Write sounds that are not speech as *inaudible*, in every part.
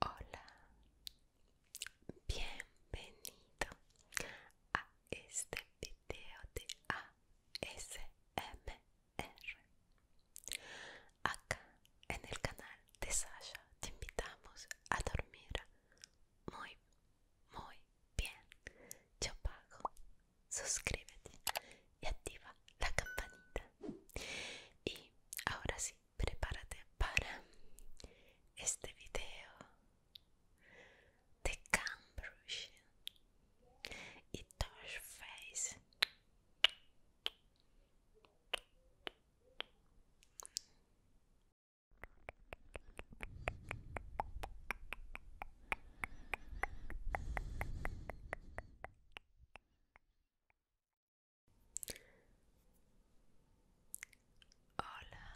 Hola, bienvenido a este video de ASMR. Acá en el canal de Sasha te invitamos a dormir muy, muy bien. Yo pago, suscríbete y activa la campanita. Y ahora sí, Así, prepárate para este vídeo de Cambridge e y Face. Hola.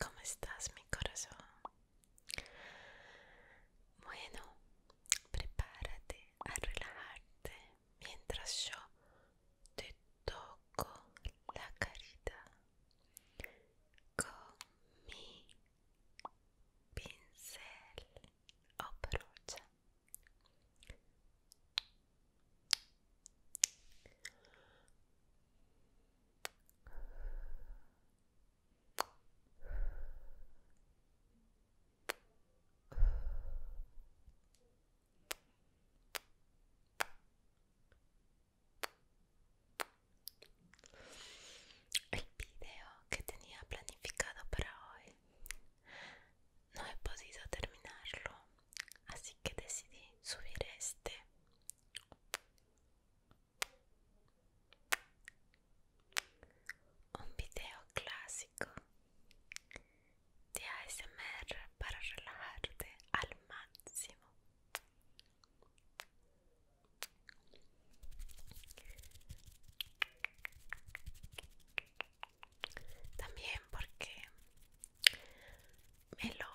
¿Cómo estás, mi corazón? Bueno, prepárate a relajarte mientras yo te toco la carita con mi pincel o el video que tenía planificado para hoy no he podido terminarlo, así que decidí subir este. Un video clásico de ASMR para relajarte al máximo. También porque me lo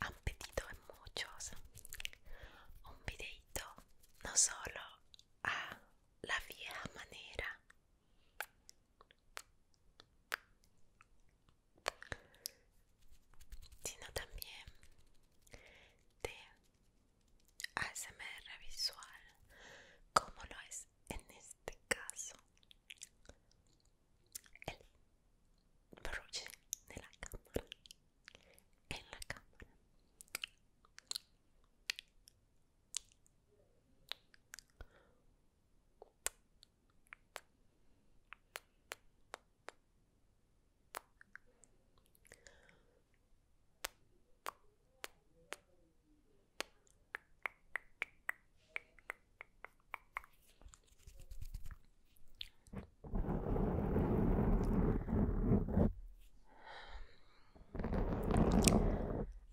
han pedido en muchos un videito no solo a la vieja manera sino también de ASMR visual como lo es en este caso el bruce de la cámara en la cámara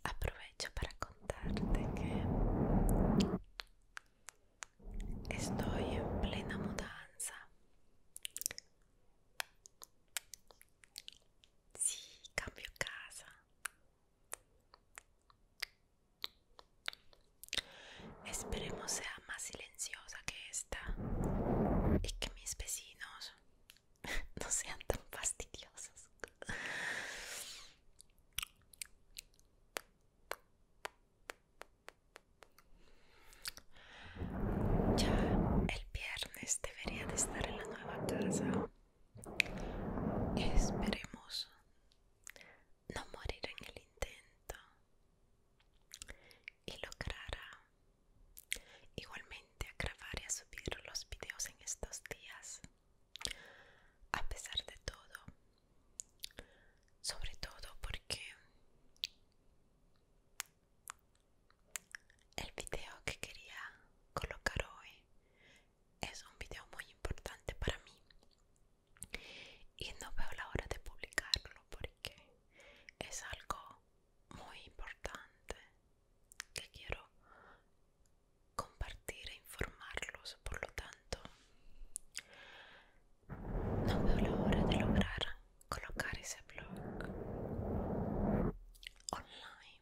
Aprovecho para contarte que Estoy en plena mudanza. Sí, cambio casa. Esperemos sea más silenciosa que esta y que mis vecinos *laughs* no sean tan fastidiosos. Ya el viernes debería de estar en la nueva casa. Esperemos no morir en el intento y lograr igualmente a grabar y subir los videos en estos días. A pesar de todo, sobre todo porque el video que quería colocar hoy es un video muy importante para mí y no veo la hora de publicarlo porque es algo muy importante que quiero compartire, informarlo por lo tanto. No veo la hora de lograr colocar ese blog online.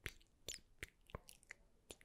Tipi, tipi, tipi,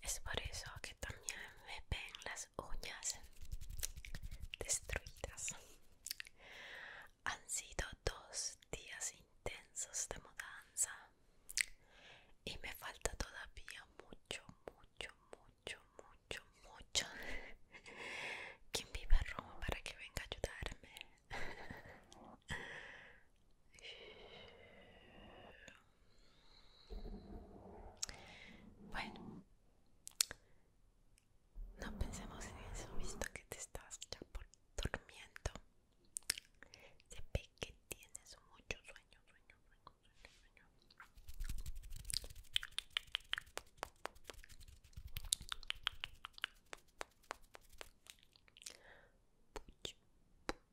Es por eso que también me ven las uñas destruidas. Han sido dos días intensos de mudanza y me falta todavía mucho, mucho, mucho, mucho, mucho. *laughs* Quien a Roma para que venga a ayudarme. *laughs* Bueno, no pensemos en eso, visto que te estás ya por durmiendo. Se que tienes muchos sueños sueño, sueño, sueño,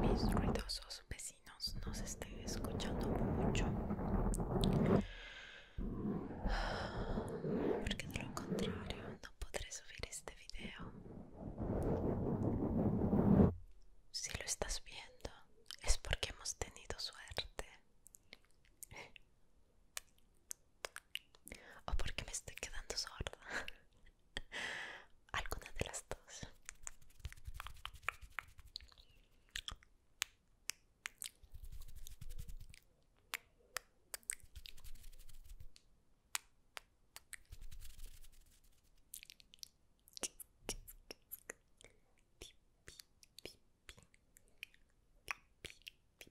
Mis ruidosos vecinos nos estén escuchando mucho. *sighs* Porque de lo contrario no podré subir este video. Si lo estás viendo es porque hemos tenido suerte o porque me estoy quedando sorda. Alguna de las dos.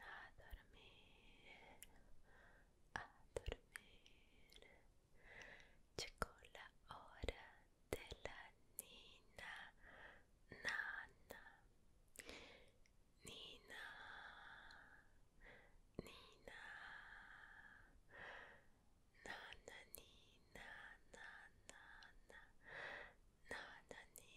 a dormir, a dormir. Llegó la hora de la nina, nana. Nina, nina, nana, nina, nana, nina.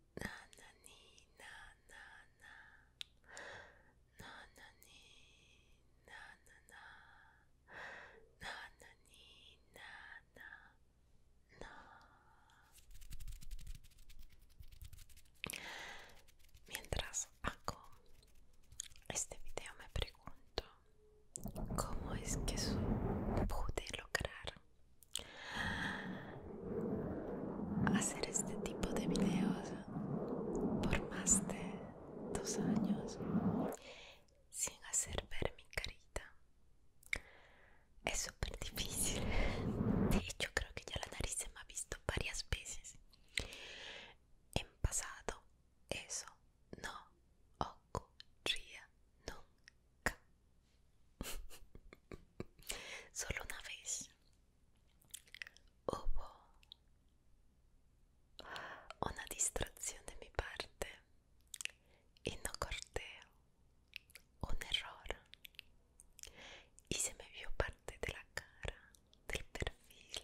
na na ni mientras hago este video me pregunto cómo es que pude lograr hacer este tipo de videos por más de dos años sin hacer ver mi carita es súper difícil de hecho creo que ya la nariz se me ha visto varias veces en pasado eso no ocurría nunca Solo una vez hubo una distrazione mi parte, innocorteo, un errore y se me vio parte de la cara, del perfil.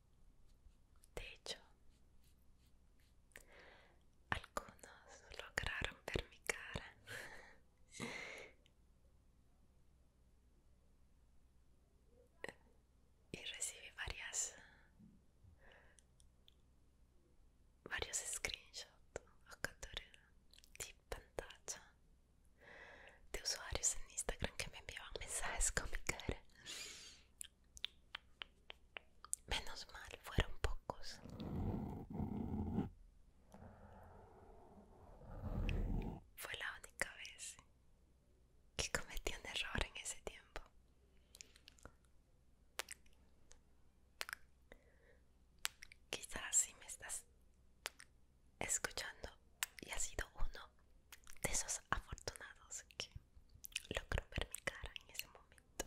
De hecho, algunos lograron ver mi cara. *laughs* y recibí varias varios screenshots de pantalla de usuarios en Instagram que me enviaban mensajes con mi cara Menos mal, fueron pocos. Fue la única vez que cometí un error en ese tiempo. Quizás si me estás escuchando y ha sido uno de esos afortunados que logró ver mi cara en ese momento.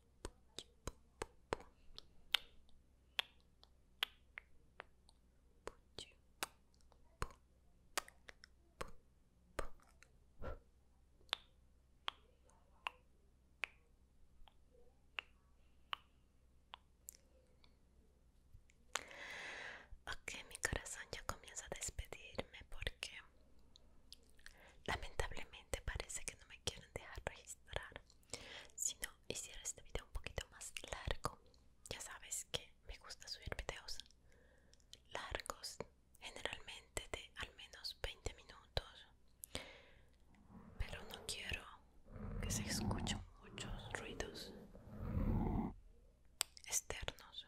Ok, mi corazón ya comienza a despedirme porque Lamentablemente parece que no me quieren dejar registrar. Si no, hiciera este video un poquito más largo. Ya sabes que me gusta subir videos largos, generalmente de al menos 20 minutos. Pero no quiero que se escuchen muchos ruidos externos.